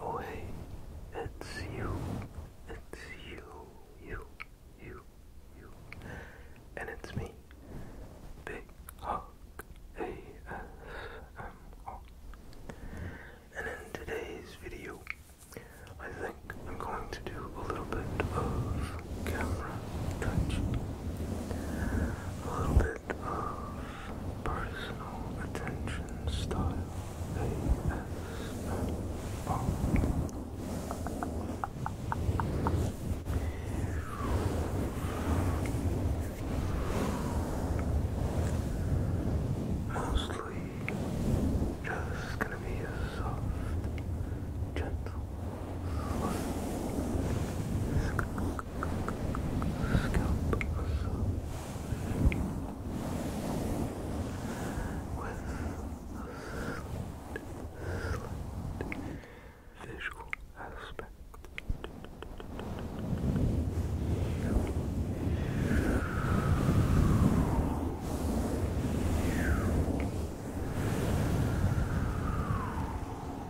Oh hey, it's you, it's you, you, you, you, and it's me, Big Hawk And in today's video, I think I'm going to do a little bit of camera touch, bit of personal attention style ASMR. Mostly just gonna be a soft, gentle, scalp massage with a slight visual aspect. Relax.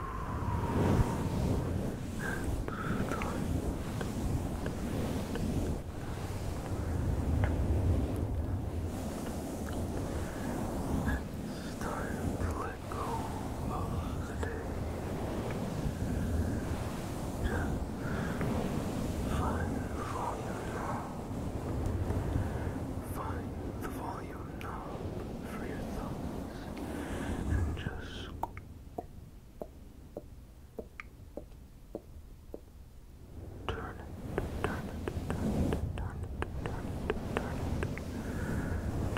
It's time to let go of the day. Just find the volume knob. Find the volume knob for your thumbs and just Turn it, turn it, turn it, turn it, turn it,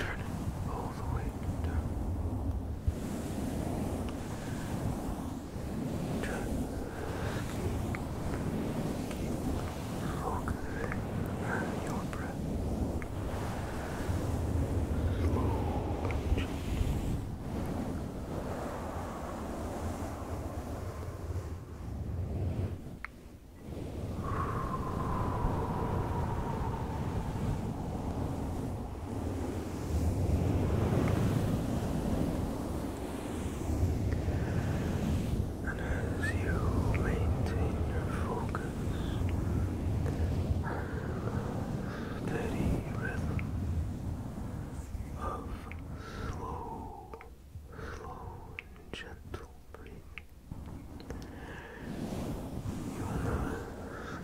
turn it, turn it all the way down. Turn. Keep focusing on your breath. And as you maintain your focus, steady rhythm of slow, slow gentle breathing. You will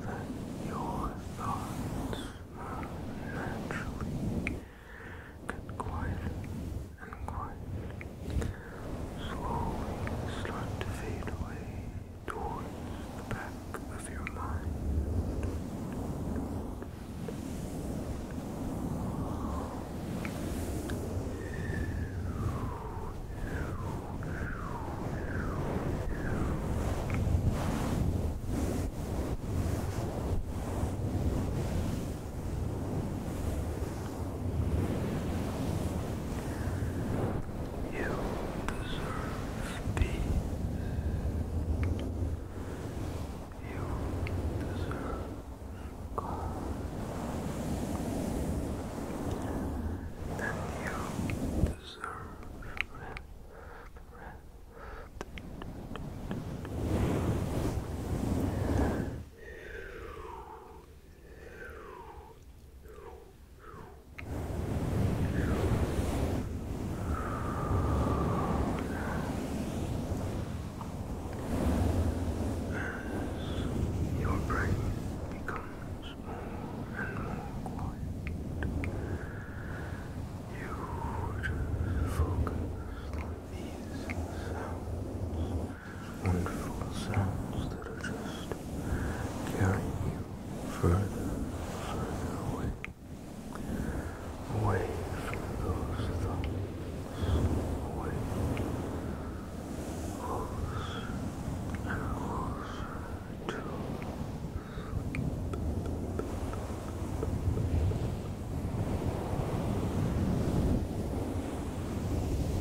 that your thoughts naturally get quiet and quiet, slowly start to fade away towards the back of your mind. You deserve peace. You deserve calm. And you deserve rest. As your brain becomes more and more quiet, you just focus on these sounds, wonderful sounds that are just carrying you further, further away, away from those thoughts, away, closer and closer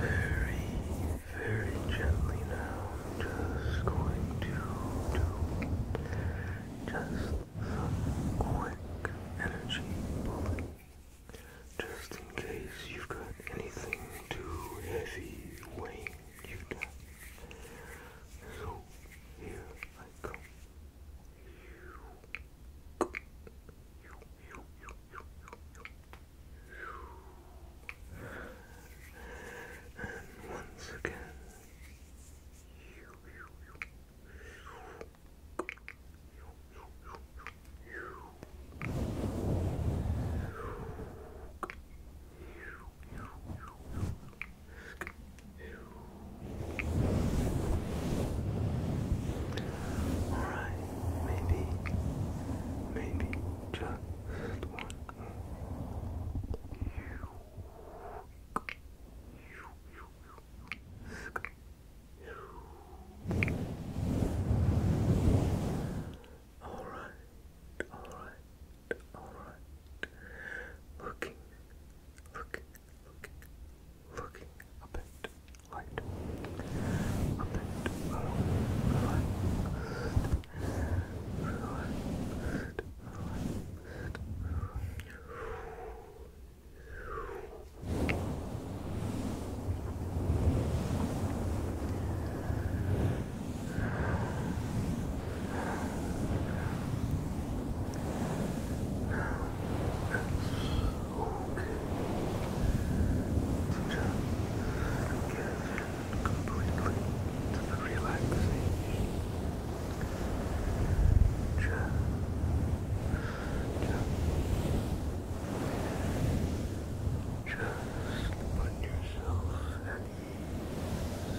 Very, very gently now. Just going to do just some quick energy pulling. Just in case you've got anything too heavy weighing you down. So here I come. And once again. All right, maybe, maybe just one more. Alright, alright, alright. Looking, looking, looking, looking a light, relaxed, relaxed, relaxed, relaxed completely to the relaxation. Just, just, just put yourself at ease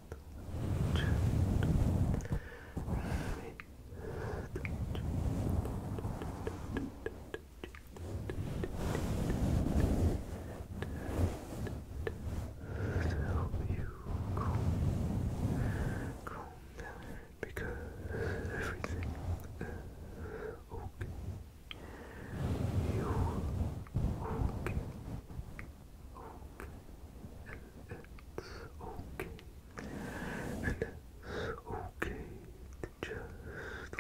help you calm, down because everything is uh, okay. You okay it's okay, it's okay to just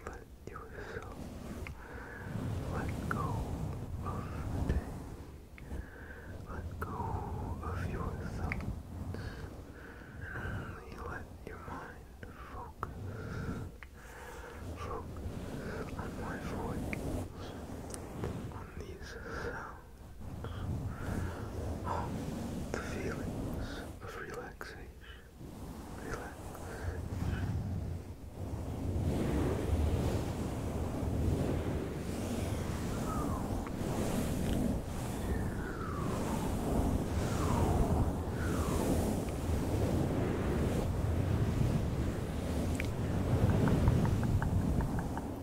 let yourself let go of the let go of your and let your mind focus. Focus on my voice, on these sounds the feelings of relaxation. Relax.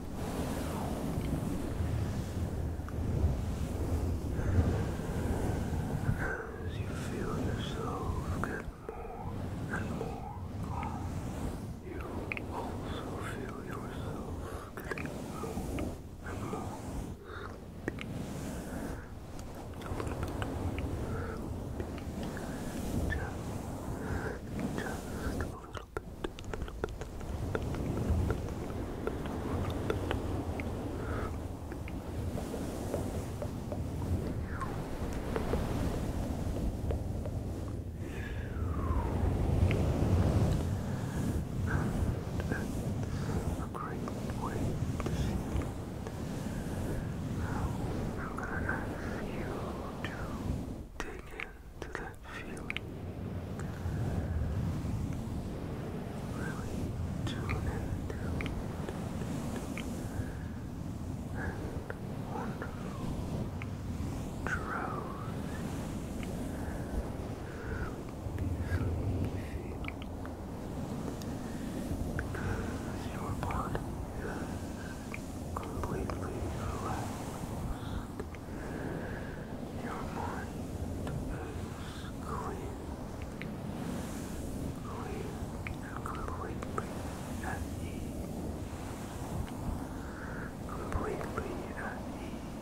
As you feel yourself get more and more calm, you also feel yourself getting more and more sleepy. Just, just a little little bit, a little bit, a little bit, and a great way to see you. Now, I'm gonna ask you to take in to that feeling. Really tune into that wonderful drowsy, Because your body completely relaxed. Your mind is clean, clean completely at ease. Completely at ease. You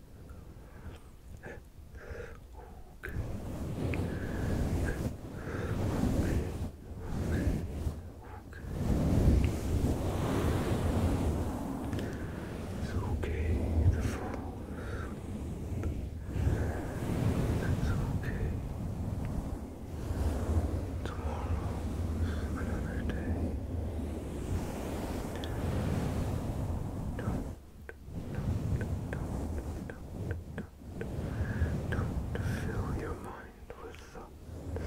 Okay. Okay. It's okay to fall. It's okay. Tomorrow's another day don't, fill your mind with thoughts.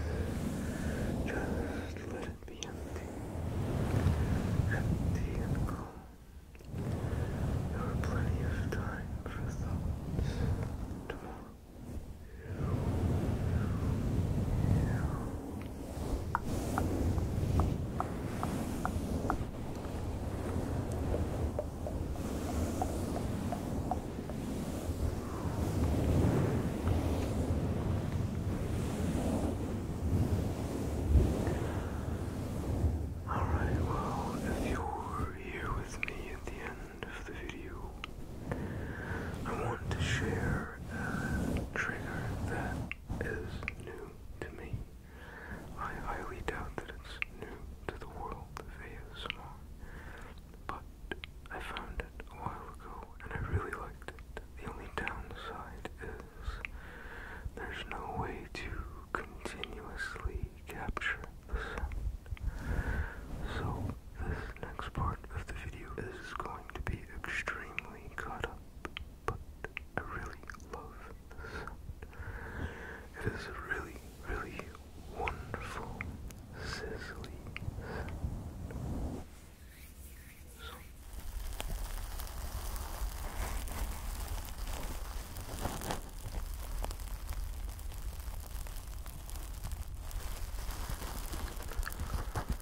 Just let it be empty, empty and calm. There are plenty of time for thoughts Alright, well, if you're here with me at the end of the video, I want to share a trigger that is new to me. I highly doubt that it's new to the world of ASMR, but I found it a while ago and I really liked it. The only downside is there's no way to continuously capture the sound. So this next part of the video is going to be extremely cut up but I really love the It is really, really wonderful sizzly So.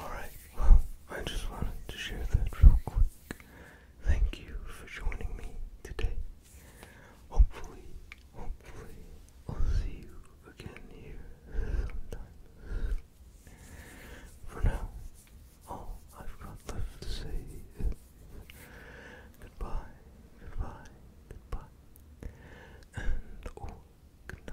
Alright, I just wanted to share that real quick. Thank you for joining me today. Hopefully, hopefully, I'll see you again here sometime. For now, all I've got left to say is goodbye, goodbye, goodbye, and oh, good